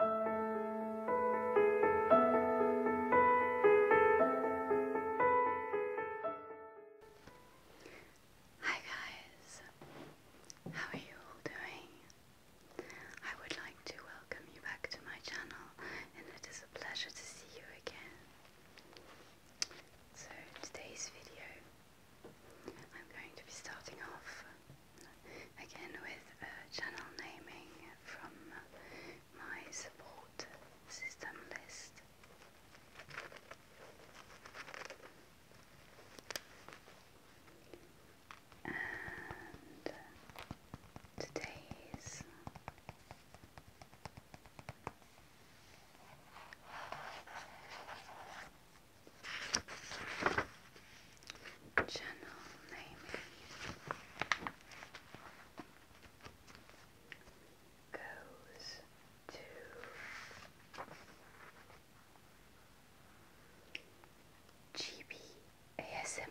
Hi guys, how are you all doing? I would like to welcome you back to my channel and it is a pleasure to see you again. So today's video I'm going to be starting off again with uh, channel naming from my support system list. And today's Channel name goes to GB ASMR.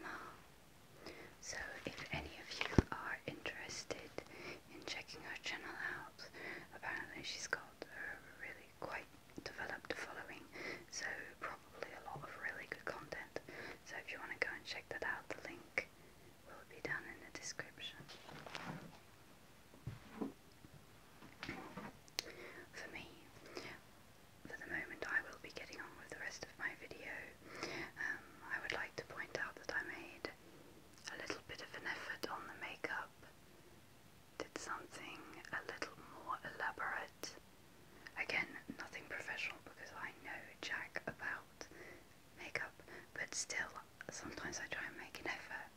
So, if any of you are interested in checking our channel out, apparently she's got a really quite developed a following, so probably a lot of really good content. So if you want to go and check that out, the link will be down in the description. For me, for the moment, I will be getting on with the rest of my video. Um, I would like to point out that I made a little bit of an effort on the makeup did something a little more elaborate. Again, nothing professional because I know jack about makeup, but still, sometimes I try and make an effort,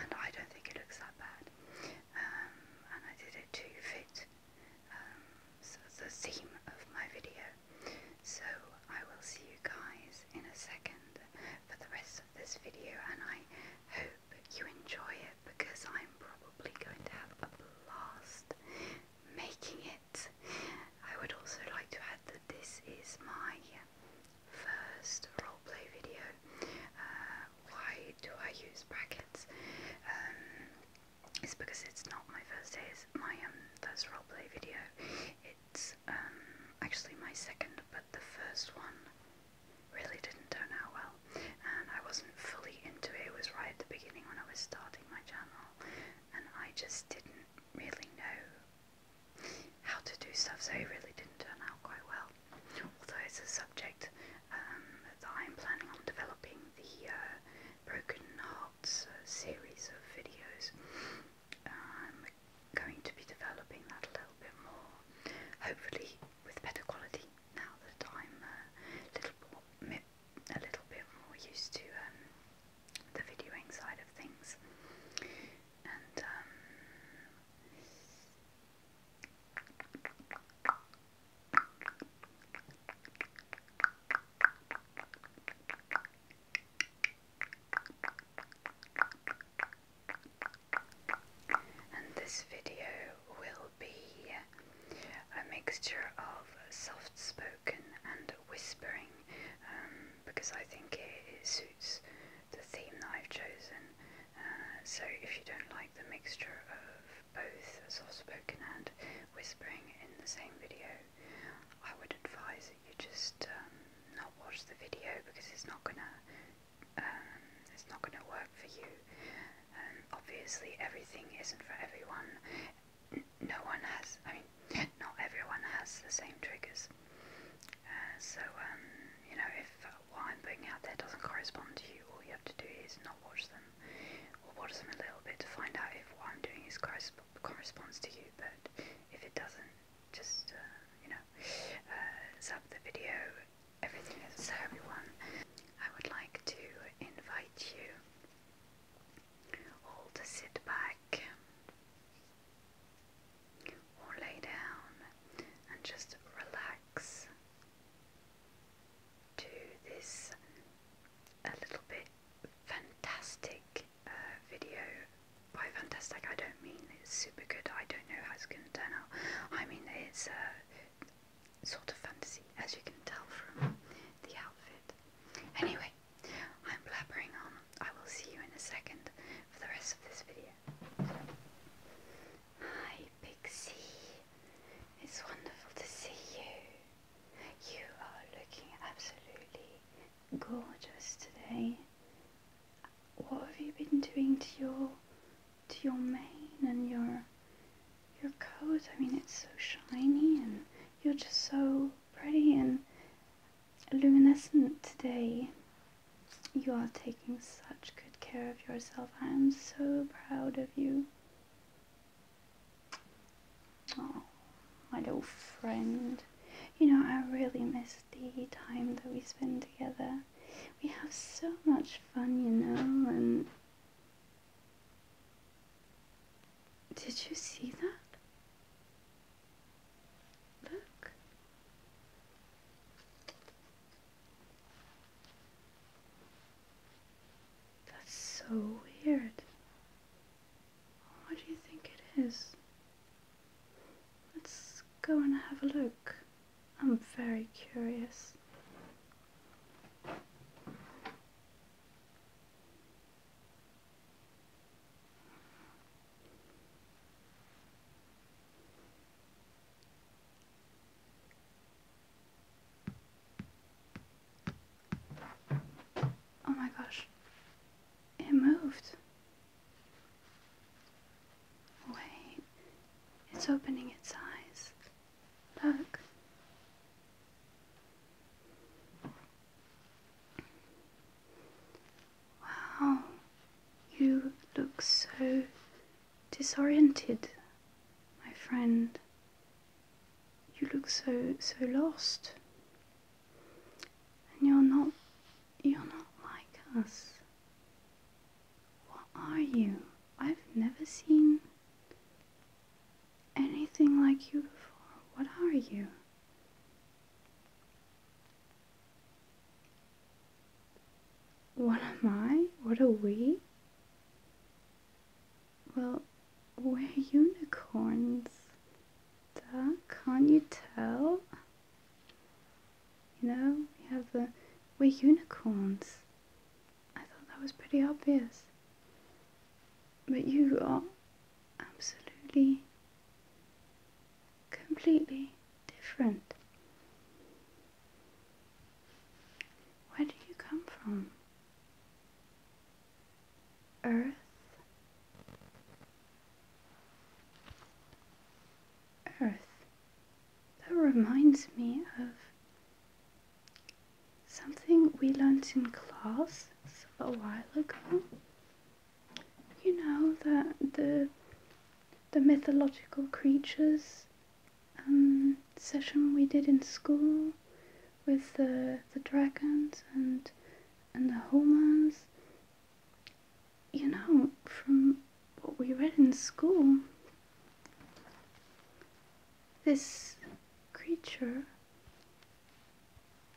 and I don't think it looks that bad. Um, and I did it to fit um, so the theme of my video. So I will see you guys in a second for the rest of this video, and I hope hope you enjoy it because I'm probably going to have a blast making it. I would also like to add that this is my first roleplay video. Uh, why do I use brackets? Um, it's because it's not my first day, my um, first roleplay video. It's um, actually my second, but the first one really didn't turn out well, and I wasn't fully into it. It was right at the beginning when I was starting my channel, and I just didn't really know how to do stuff, so it really didn't turn out quite well. Although it's a subject um, that I'm planning on developing the uh, Broken Hearts uh, series of videos. I'm going to be developing that a little bit more, hopefully with better quality now that I'm a little, more, a little bit more used to um, the videoing side of things. And um, and this video will be a mixture of soft spoken and whispering um, because I think it, suits the theme that I've chosen. Uh, so if you don't like the mixture of both soft spoken and whispering in the same video, I would advise you just um, not watch the video because it's not going to um, it's not going to work for you. Um, obviously, everything isn't for everyone. N no one has, I mean, not everyone has the same triggers. Uh, so, um, you know, if uh, what I'm putting out there doesn't correspond to you, all you have to do is not watch them or watch them a little bit to find out if what I'm doing is corresp corresponds to you. But if it doesn't, just, uh, you know, uh, zap the video everything everyone, I would like to invite you all to sit back or lay down and just relax to this a little bit fantastic uh, video. By fantastic, I don't mean it's super good. I don't know how it's going to turn out. I mean it's uh, sort of fantasy, as you can tell from the outfit. Anyway, I'm blabbering on. I will see you in a second for the rest of this video. Hi, Pixie. It's wonderful to see you. You are looking absolutely gorgeous today. What have you been doing to your to your mane and your your coat. I mean, it's so shiny and you're just so pretty and luminescent today. You are taking such good care of yourself. I am so proud of you. Oh, my little friend. You know, I really miss the time that we spend together we have so much fun, you know, and did you see that? Look. That's so weird. What do you think it is? Let's go and have a look. I'm very curious. Oh my gosh, it moved. Wait, it's opening its eyes. Look. Wow, you look so disoriented, my friend. You look so, so lost. And you're not, you're not like us. What are you? I've never seen anything like you before. What are you? What am I? What are we? Well, we're unicorns. can't you tell? You know, we have the. We're unicorns. I thought that was pretty obvious. But you are absolutely, completely different. Where do you come from? Earth? Earth. That reminds me of something we learnt in class a while ago. You know that the the mythological creatures um, session we did in school with the the dragons and and the humans. You know from what we read in school, this creature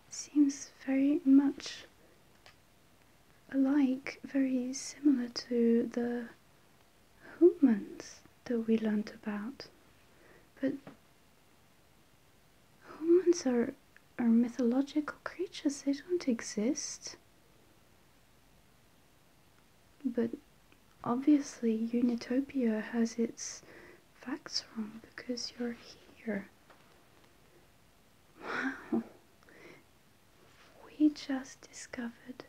seems very much alike, very similar to the humans that we learnt about. But humans are, are mythological creatures, they don't exist. But obviously, Unitopia has its facts wrong because you're here. Wow. We just discovered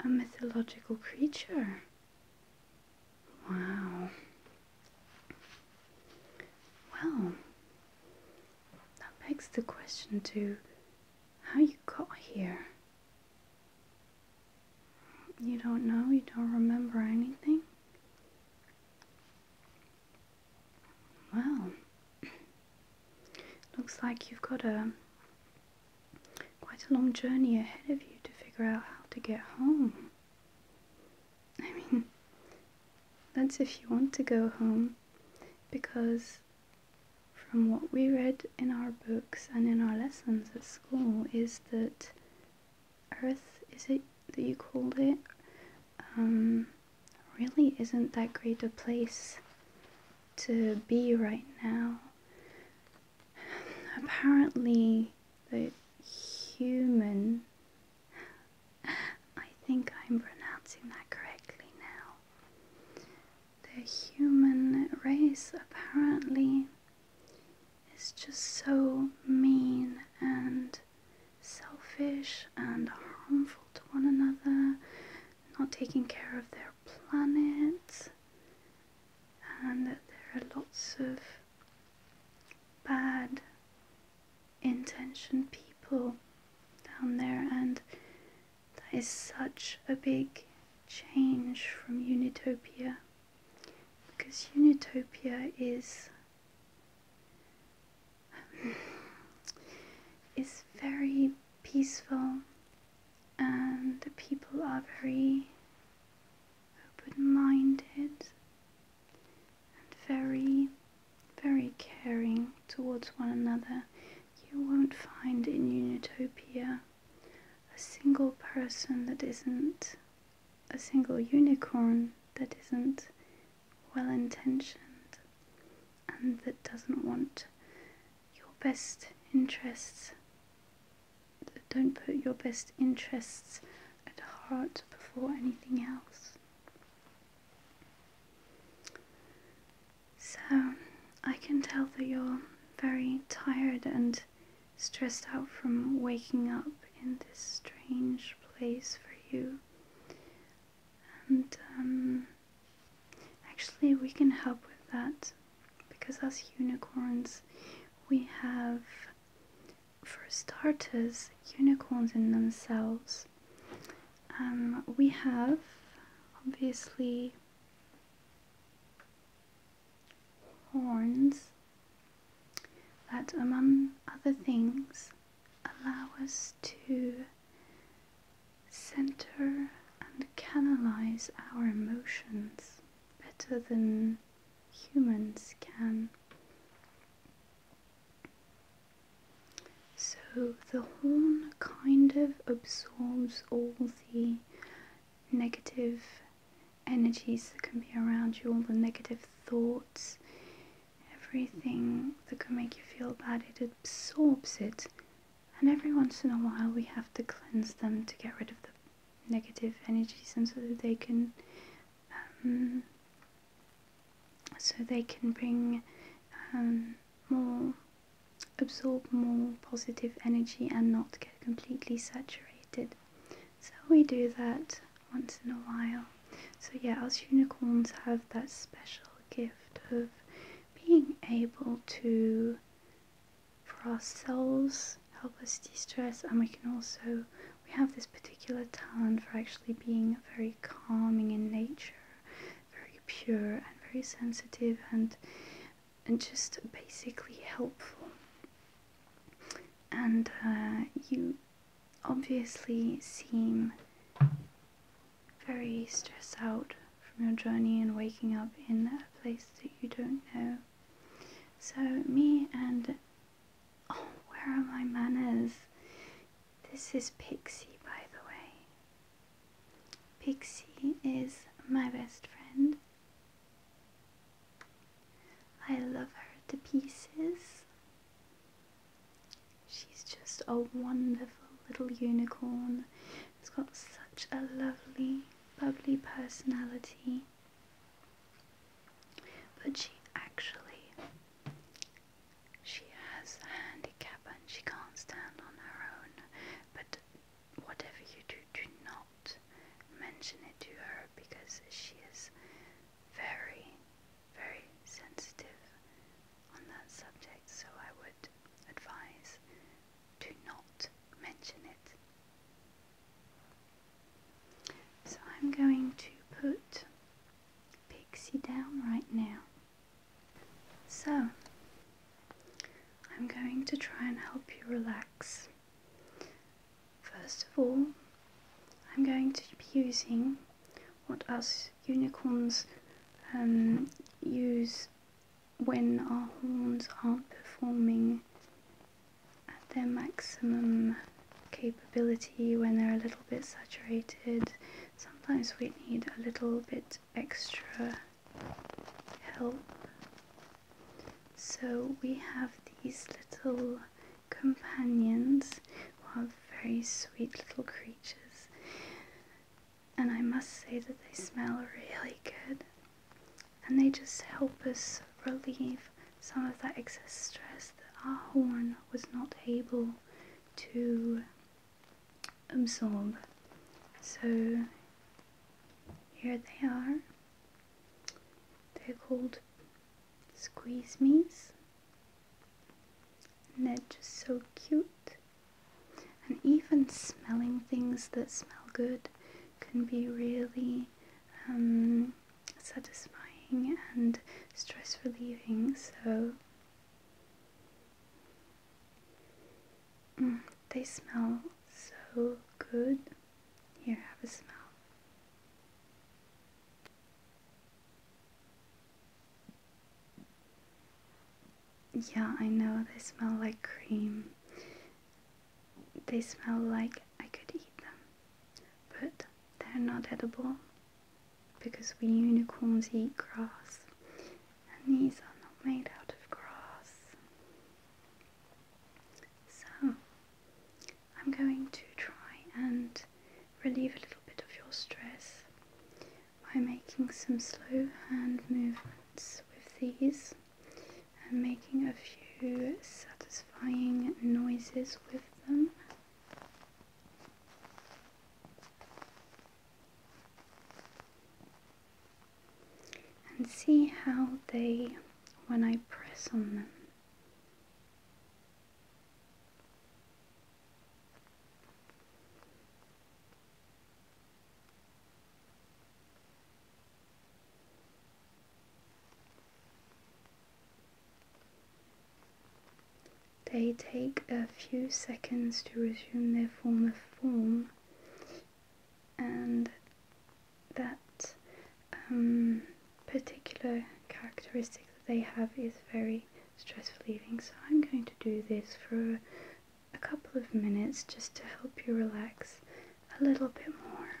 a mythological creature. Wow. Well, that begs the question too. How you got here? You don't know? You don't remember anything? Well, looks like you've got a quite a long journey ahead of you to figure out how to get home. I mean, that's if you want to go home because from what we read in our books and in our lessons at school is that Earth, is it that you called it, um, really isn't that great a place to be right now. Apparently, the human, I think I'm pronouncing that correctly now, the human race apparently is just so mean and selfish and harmful to one another, not taking care of their planet, and that there are lots of bad intentioned people down there, and that is such a big change from Unitopia because Unitopia is is very peaceful and the people are very open-minded and very very caring towards one another, you won't find in Unitopia a single person that isn't, a single unicorn that isn't well intentioned and that doesn't want your best interests, don't put your best interests at heart before anything else. So, I can tell that you're very tired and stressed out from waking up in this strange place for you. And um, actually, we can help with that because, as unicorns, we have, for starters, unicorns in themselves um, we have obviously horns that, among other things, allow us to center and canalize our emotions better than humans can. So the horn kind of absorbs all the negative energies that can be around you, all the negative thoughts, everything that can make you feel bad, it absorbs it. And every once in a while, we have to cleanse them to get rid of the negative energies and so that they can. Um, so they can bring um, more absorb more positive energy and not get completely saturated. So we do that once in a while. So yeah, us unicorns have that special gift of being able to, for ourselves, help us de-stress and we can also, we have this particular talent for actually being very calming in nature very pure and very sensitive and and just basically helpful. And uh, you obviously seem very stressed out from your journey and waking up in a place that you don't know. So me and oh, where are my manners? This is Pixie, by the way. Pixie is my best friend. I love her to pieces. She's just a wonderful little unicorn she has got such a lovely, bubbly personality. But she actually she has a handicap and she can't stand on her own, but whatever you do, do not mention it to her because she is very, very sensitive on that subject. So I would advise do not mention it. So I'm going to put Pixie down right now. So, I'm going to try and help you relax. First of all, I'm going to be using what us unicorns um, use when our horns aren't performing at their maximum capability, when they're a little bit saturated. Sometimes we need a little bit extra help. So we have these little companions who are very sweet little creatures. And I must say that they smell really good. And they just help us relieve some of that excess stress that our horn was not able to absorb. So here they are. They're called squeeze me's. they're just so cute. And even smelling things that smell good can be really um, satisfying and stress relieving. So Mm, they smell so good. Here, have a smell. Yeah, I know they smell like cream. They smell like I could eat them, but they're not edible because we unicorns eat grass and these are not made out of grass. So I'm going to try and relieve a little bit of your stress by making some slow hand movements with these and making a few satisfying noises with them and see how they, when I press on them, they take a few seconds to resume their former form, and that um, particular characteristic that they have is very stress relieving. So I'm going to do this for a couple of minutes just to help you relax a little bit more.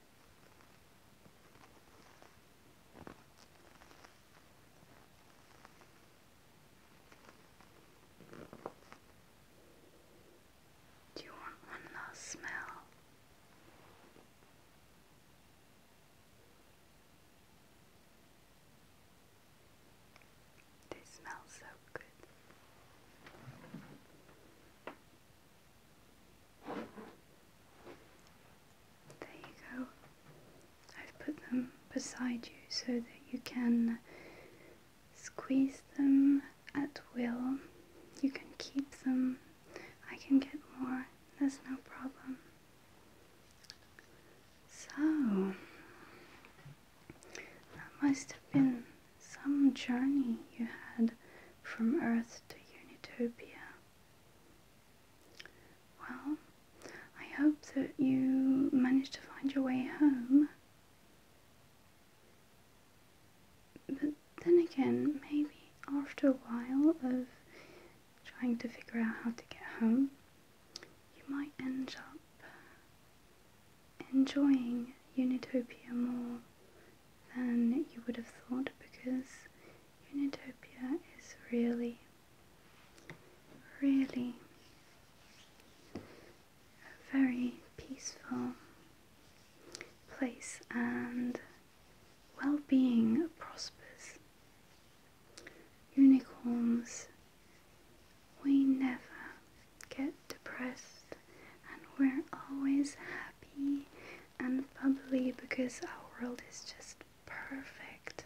Do you want one last smell? They smell so good. There you go. I've put them beside you so that you can squeeze them at will. You can keep them. I can get more. There's no problem. So, that must have been some journey you had from Earth to Unitopia. Well, I hope that you managed to find your way home. But then again, maybe after a while of trying to figure out how to get home, you might end up enjoying Unitopia more than you would have thought because Unitopia is really, really a very peaceful place and well-being prospers. Unicorns, we never get depressed and we're always happy and probably because our world is just perfect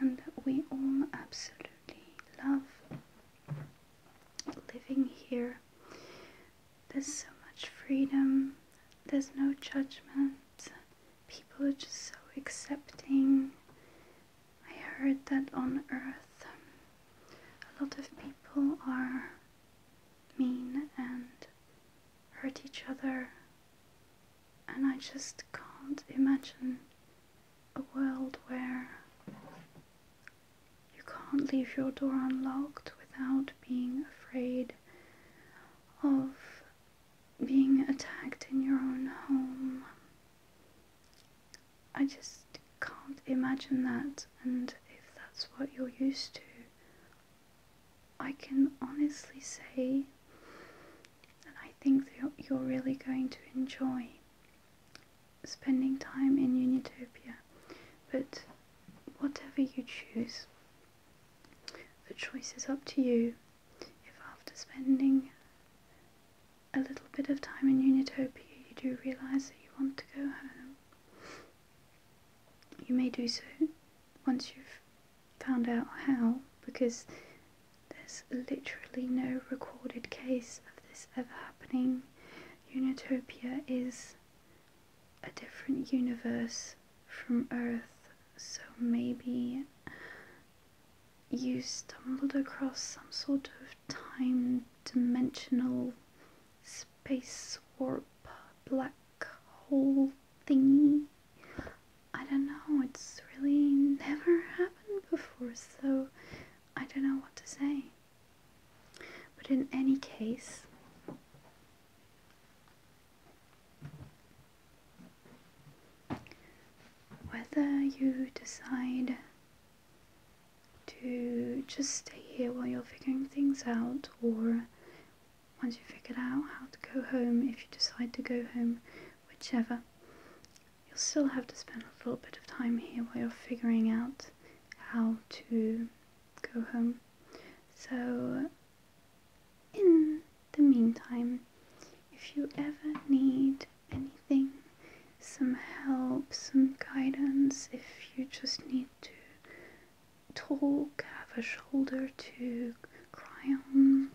and we all absolutely love living here. There's so much freedom, there's no judgment, people are just so accepting. I heard that on earth a lot of people are mean and hurt each other, and I just can't imagine a world where you can't leave your door unlocked without being afraid of being attacked in your own home. I just can't imagine that, and if that's what you're used to, I can honestly say that I think that you're really going to enjoy spending time in Unitopia. But whatever you choose, the choice is up to you. If after spending a little bit of time in Unitopia you do realise that you want to go home, you may do so once you've found out how, because there's literally no recorded case of this ever happening. Unitopia is a different universe from Earth, so maybe you stumbled across some sort of time dimensional space warp black hole thingy. I don't know, it's really never happened before, so I don't know what to say. But in any case, whether you decide to just stay here while you're figuring things out or once you figured out how to go home, if you decide to go home, whichever, you'll still have to spend a little bit of time here while you're figuring out how to go home. So, in the meantime, if you ever need anything, some help, some guidance, if you just need to talk, have a shoulder to cry on.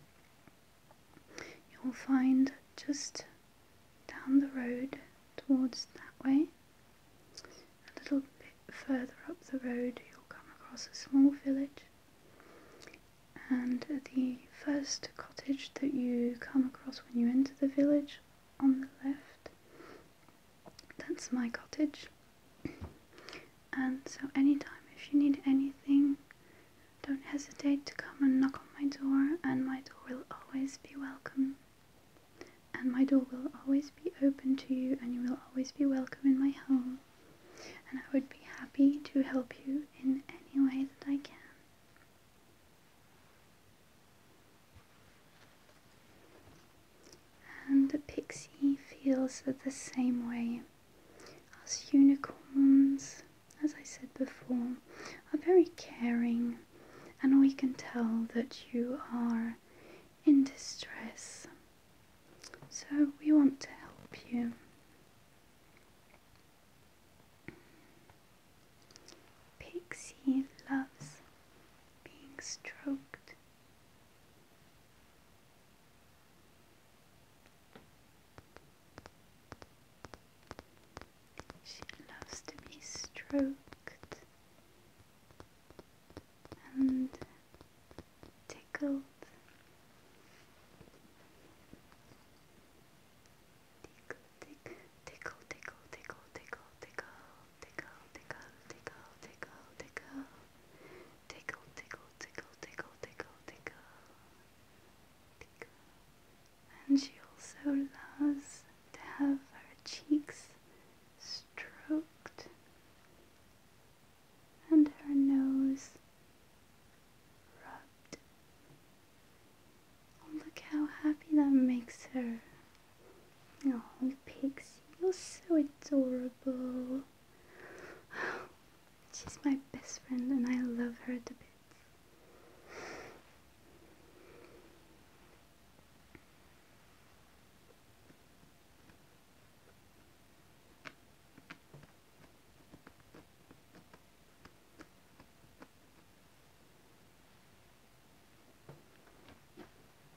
You'll find just down the road towards that way, a little bit further up the road, you'll come across a small village. And the first cottage that you come across when you enter the village on the left that's my cottage. And so, anytime if you need anything, don't hesitate to come and knock on my door, and my door will always be welcome. And my door will always be open to you, and you will always be welcome in my home. And I would be happy to help you in any way that I can. And the pixie feels the same way. As unicorns, as I said before, are very caring, and we can tell that you are in distress. So we want to help you. Pixie loves being stroked she loves to be stroked and tickled. Tickle, tick, tickle, tickle, tickle, tickle, tickle tickle, tickle, tickle, tickle, tickle, tickle, tickle, tickle, tickle, tickle, tickle, tickle. And she also loves to have her cheeks stroked and her nose rubbed. look how happy that makes her. Oh, Pixie, you're so adorable. She's my best friend and I love her to bits.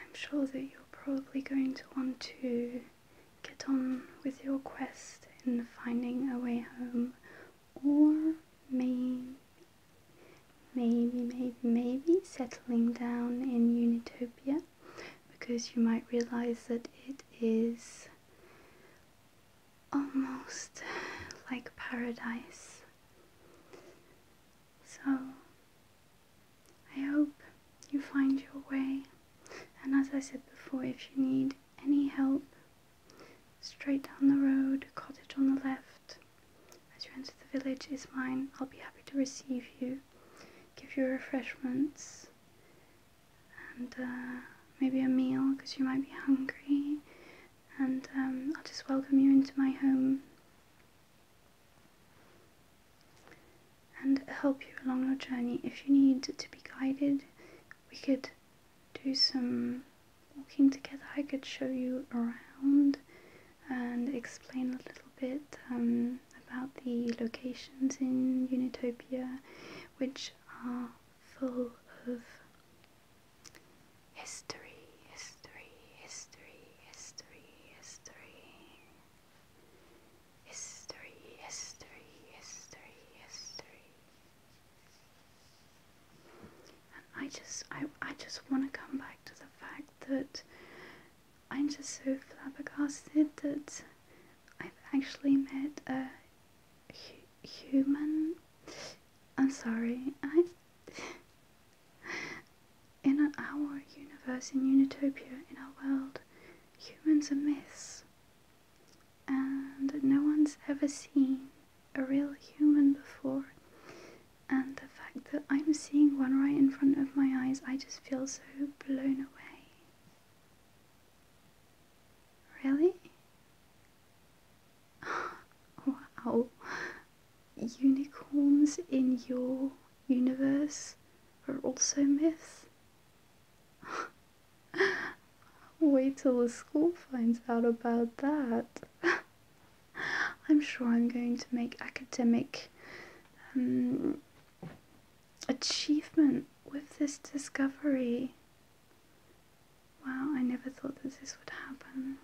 I'm sure that you're probably going to want to get on with your quest in finding a way home or maybe, maybe, maybe, maybe settling down in Unitopia because you might realize that it is almost like paradise. So, I hope you find your way. And as I said before, if you need any help Straight down the road, cottage on the left. As you enter the village it's mine. I'll be happy to receive you, give you refreshments, and uh, maybe a meal because you might be hungry. And um, I'll just welcome you into my home and help you along your journey. If you need to be guided, we could do some walking together, I could show you around and explain a little bit um, about the locations in Unitopia, which are full of history, history, history, history, history, history, history, history, history, I just I, I just want to come back to the fact that I'm just so flabbergasted that I've actually met a human. I'm sorry. I in our universe in Unitopia in our world humans are myths and no one's ever seen a real human before. And the fact that I'm seeing one right in front of my eyes, I just feel so blown away. Really? wow. Unicorns in your universe are also myths? Wait till the school finds out about that. I'm sure I'm going to make academic um, achievement with this discovery. Wow, I never thought that this would happen.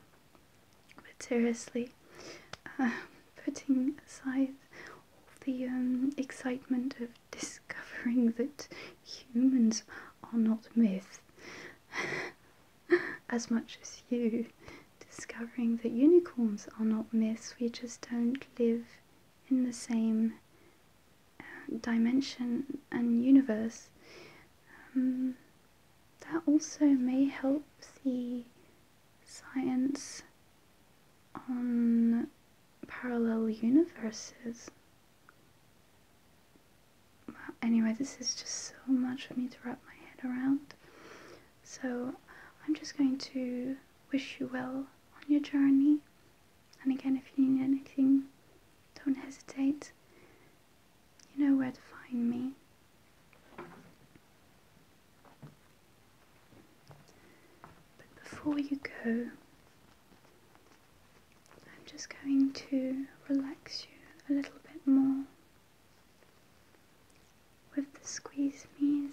But seriously, uh, putting aside all the um, excitement of discovering that humans are not myths, as much as you, discovering that unicorns are not myths, we just don't live in the same uh, dimension and universe. Um, that also may help the science on parallel universes anyway, this is just so much for me to wrap my head around. So I'm just going to wish you well on your journey. And again, if you need anything, don't hesitate. You know where to find me. But before you go, I'm just going to relax you a little bit more with the squeeze me's.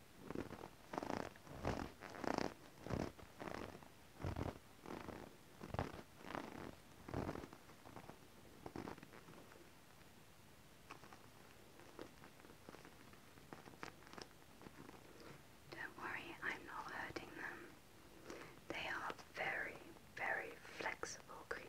don't worry, I'm not hurting them. They are very, very flexible creatures.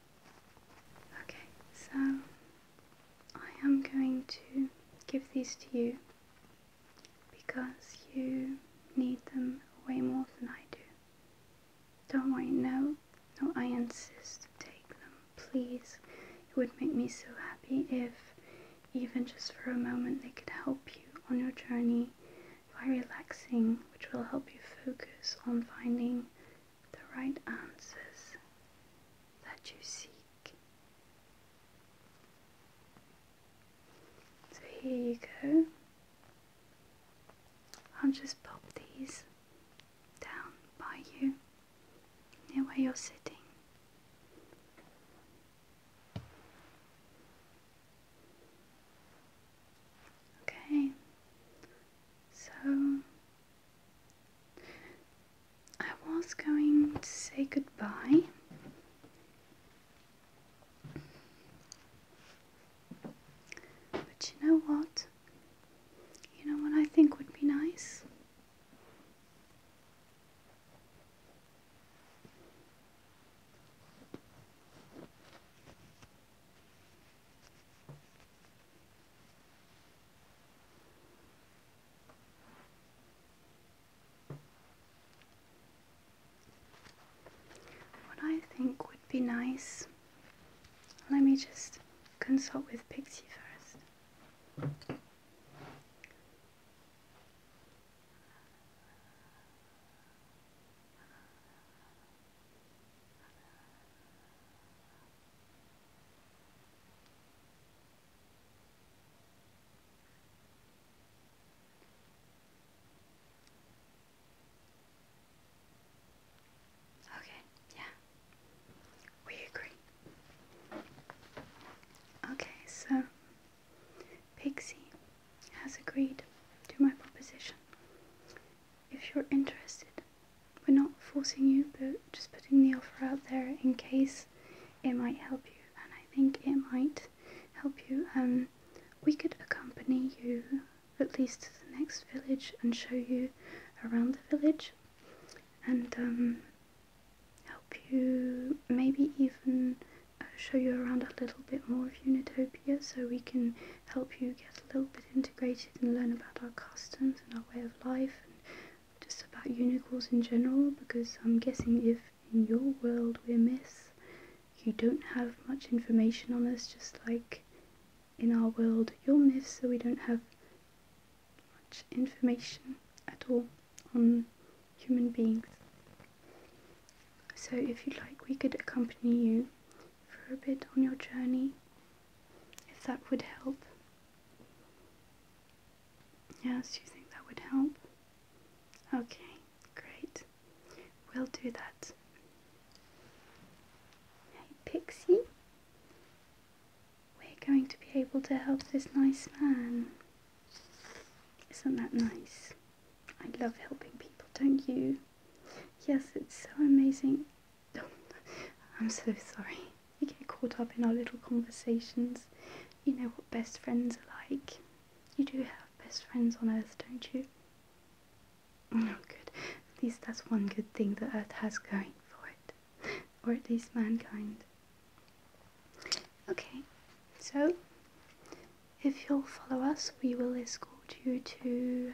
Okay, so I am going to give these to you because you need them way more than I do. Don't worry, no, no, I insist take them, please. It would make me so happy if, even just for a moment, they could help you on your journey by relaxing, which will help you focus on finding the right answers that you seek. So here you go. I'll just pop these down by you near where you're sitting. Okay, so I was going to say goodbye. But you know what? You know what I think would be nice? What I think would be nice, let me just consult with Pixie first. Okay, yeah, we agree. Okay, so Pixie has agreed to my proposition. If you're interested, we're not forcing you, but just putting the offer out there in case it might help you, and I think it might help you. Um, we could accompany you at least to the next village and show you around the village, and um, help you maybe even uh, show you around a little bit more of Unitopia, so we can help you get a little bit integrated and learn about our customs and our way of life just about unicorns in general because I'm guessing if in your world we're miss, you don't have much information on us, just like in our world you're miss, so we don't have much information at all on human beings. So if you would like, we could accompany you for a bit on your journey, if that would help. Yes, you think that would help? Okay, great. We'll do that. Hey, Pixie. We're going to be able to help this nice man. Isn't that nice? I love helping people, don't you? Yes, it's so amazing I'm so sorry. We get caught up in our little conversations. You know what best friends are like. You do have best friends on Earth, don't you? Oh, good. At least that's one good thing the Earth has going for it. Or at least mankind. Okay, so if you'll follow us, we will escort you to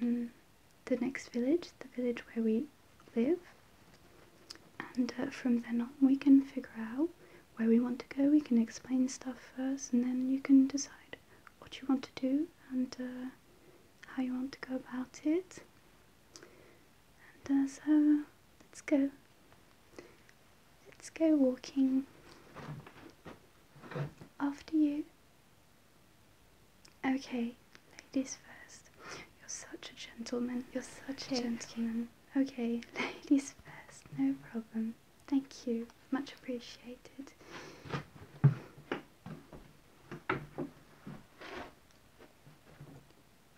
um, the next village, the village where we live, and uh, from then on we can figure out where we want to go. We can explain stuff first, and then you can decide what you want to do and uh, how you want to go about it. And uh, so let's go. Let's go walking. After you. Okay, ladies first. You're such a gentleman. You're such a gentleman. Okay. ladies first. No problem. Thank you. Much appreciated.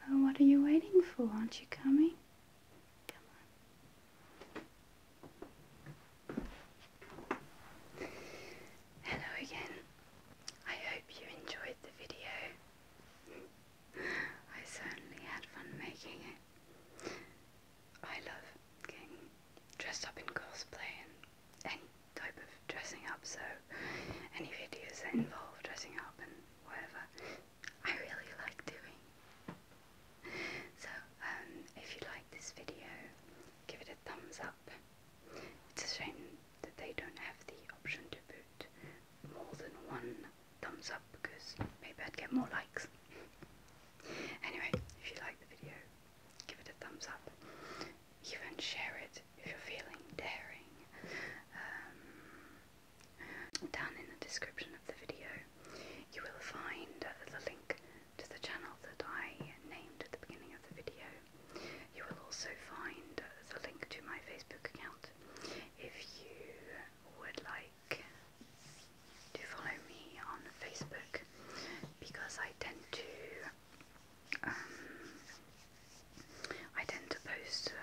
Well, what are you waiting for? Aren't you coming? Hello again. I hope you enjoyed the video. I certainly had fun making it. I love getting dressed up in cosplay and any type of dressing up, so any videos that involve dressing up and whatever, I really like doing. So, um, if you like this video, give it a thumbs up. It's a shame that they don't have the option to put more than one thumbs up because maybe I'd get more likes. anyway, if you like the video, give it a thumbs up. Even share it if you're feeling daring. Um, down in the description of the video, you will find the link to the channel that I named at the beginning of the video. You will also find the link to my Facebook account if you would like to follow me on Facebook because I tend to um, I tend to post uh,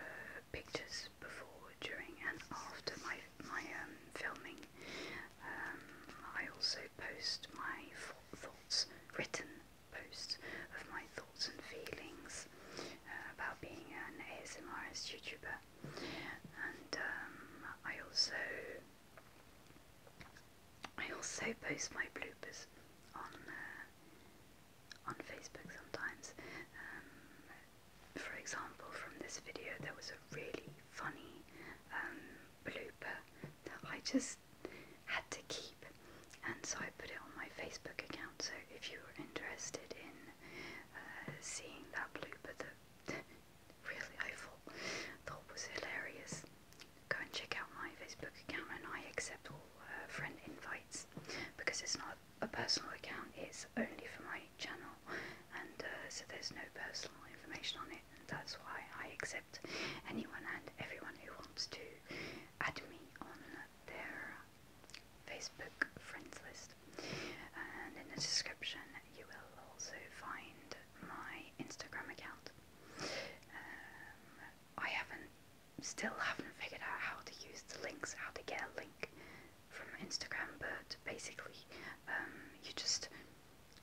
pictures before, during, and after my my um, filming. Um, I also post my thoughts written posts of my thoughts and feelings uh, about being an ASMRist YouTuber. And um, I also I also post my bloopers on uh, on Facebook sometimes. Um, for example, from this video, there was a really funny um, blooper that I just had to keep, and so I put it on my Facebook account. So if you were interested in uh, seeing that blooper that really I thought, thought was hilarious, go and check out my Facebook account. And I accept all uh, friend invites because it's not a personal account; it's only for my channel, and uh, so there's no personal information on it that's why I accept anyone and everyone who wants to add me on their Facebook friends list. And in the description, you will also find my Instagram account. Um, I haven't, still haven't figured out how to use the links, how to get a link from Instagram, but basically, um, you just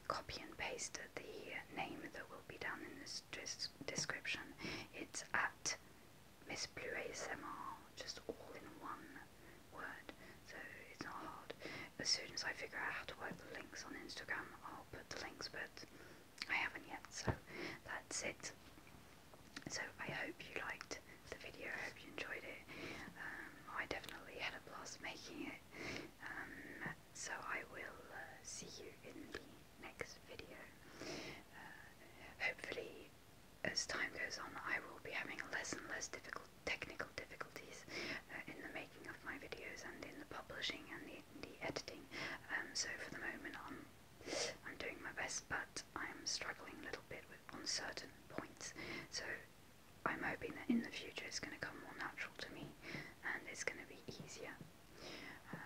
copy and paste the name that will be down in this description. It's at Miss Blue ASMR, just all in one word, so it's not hard. As soon as I figure out how to work the links on Instagram, I'll put the links, but I haven't yet, so that's it. So I hope you liked the video, I hope you enjoyed it. Um, I definitely had a blast making it. Um, so I will uh, see you in the next video. Uh, hopefully, as time goes on, I will be having less and less difficult technical difficulties uh, in the making of my videos and in the publishing and the, the editing. Um, so for the moment, I'm I'm doing my best, but I'm struggling a little bit with on certain points. So I'm hoping that in the future it's going to come more natural to me and it's going to be easier. Um,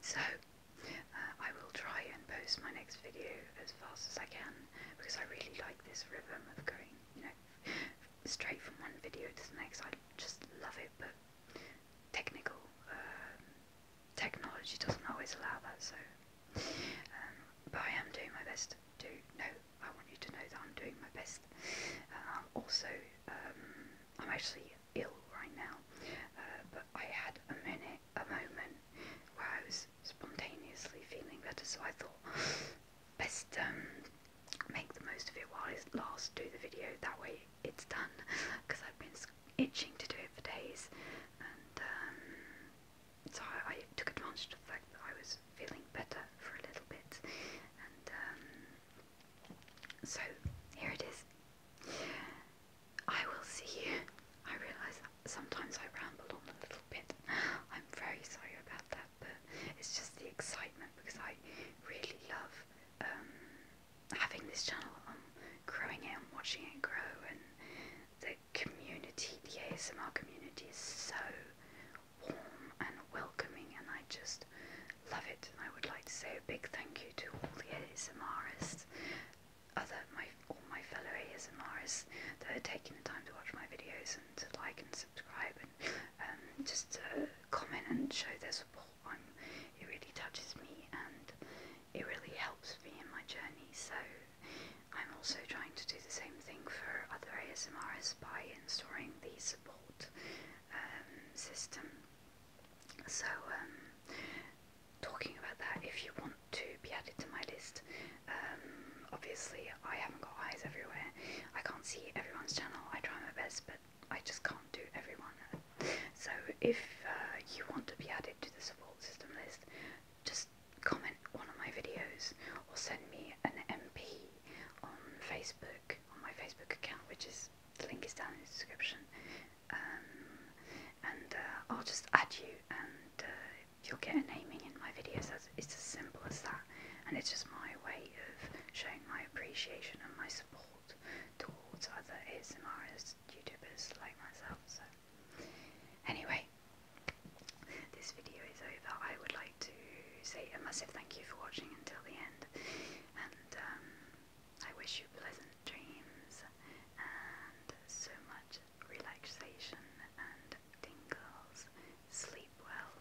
so, uh, I will try and post my next video as fast as I can because I really like this rhythm of going, you know, straight from one video to the next. I just love it, but technical um, technology doesn't always allow that. So, um, but I am doing my best to. No, I want you to know that I'm doing my best podcast. Um, also, um, I'm actually ill right now, uh, but I had a minute, a moment where I was spontaneously feeling better, so I thought best um, make the most of it while it lasts. Do the video that way it's done because I've been itching to do it for days, and um, so I, took advantage of the fact that I was feeling better for a little bit, and so here it is. I will see you. I realise sometimes I ramble on a little bit. I'm very sorry about that, but it's just the excitement because I really love um, having this channel and growing it and watching it grow. And the community, the ASMR community, is so warm and welcoming, and I just love it. And I would like to say a big thank you to all the ASMRists, other my all my fellow ASMRists that are taking the time to watch my videos and to like and subscribe and um, just to comment and show their support. I'm, it really touches me and it really helps me in my journey. So. I'm also trying to do the same thing for other ASMRs by installing these support um, system. So, um, talking about that, if you want to be added to my list, um, obviously I haven't got eyes everywhere. I can't see everyone's channel. I try my best, but I just can't do everyone. So, if uh, you want to be added to the support system list, just comment one of my videos or send me an MP on Facebook on my Facebook account, which is the link is down in the description. Um, and uh, I'll just add you, and uh, you'll get a naming in my videos. That's, it's as simple as that, and it's just my way of showing my appreciation and my support towards other ASMRs, YouTubers like myself. So, anyway, this video is over. I would like to say a massive thank you for watching until the end. And um, I wish you pleasant dreams and so much relaxation and tingles. Sleep well.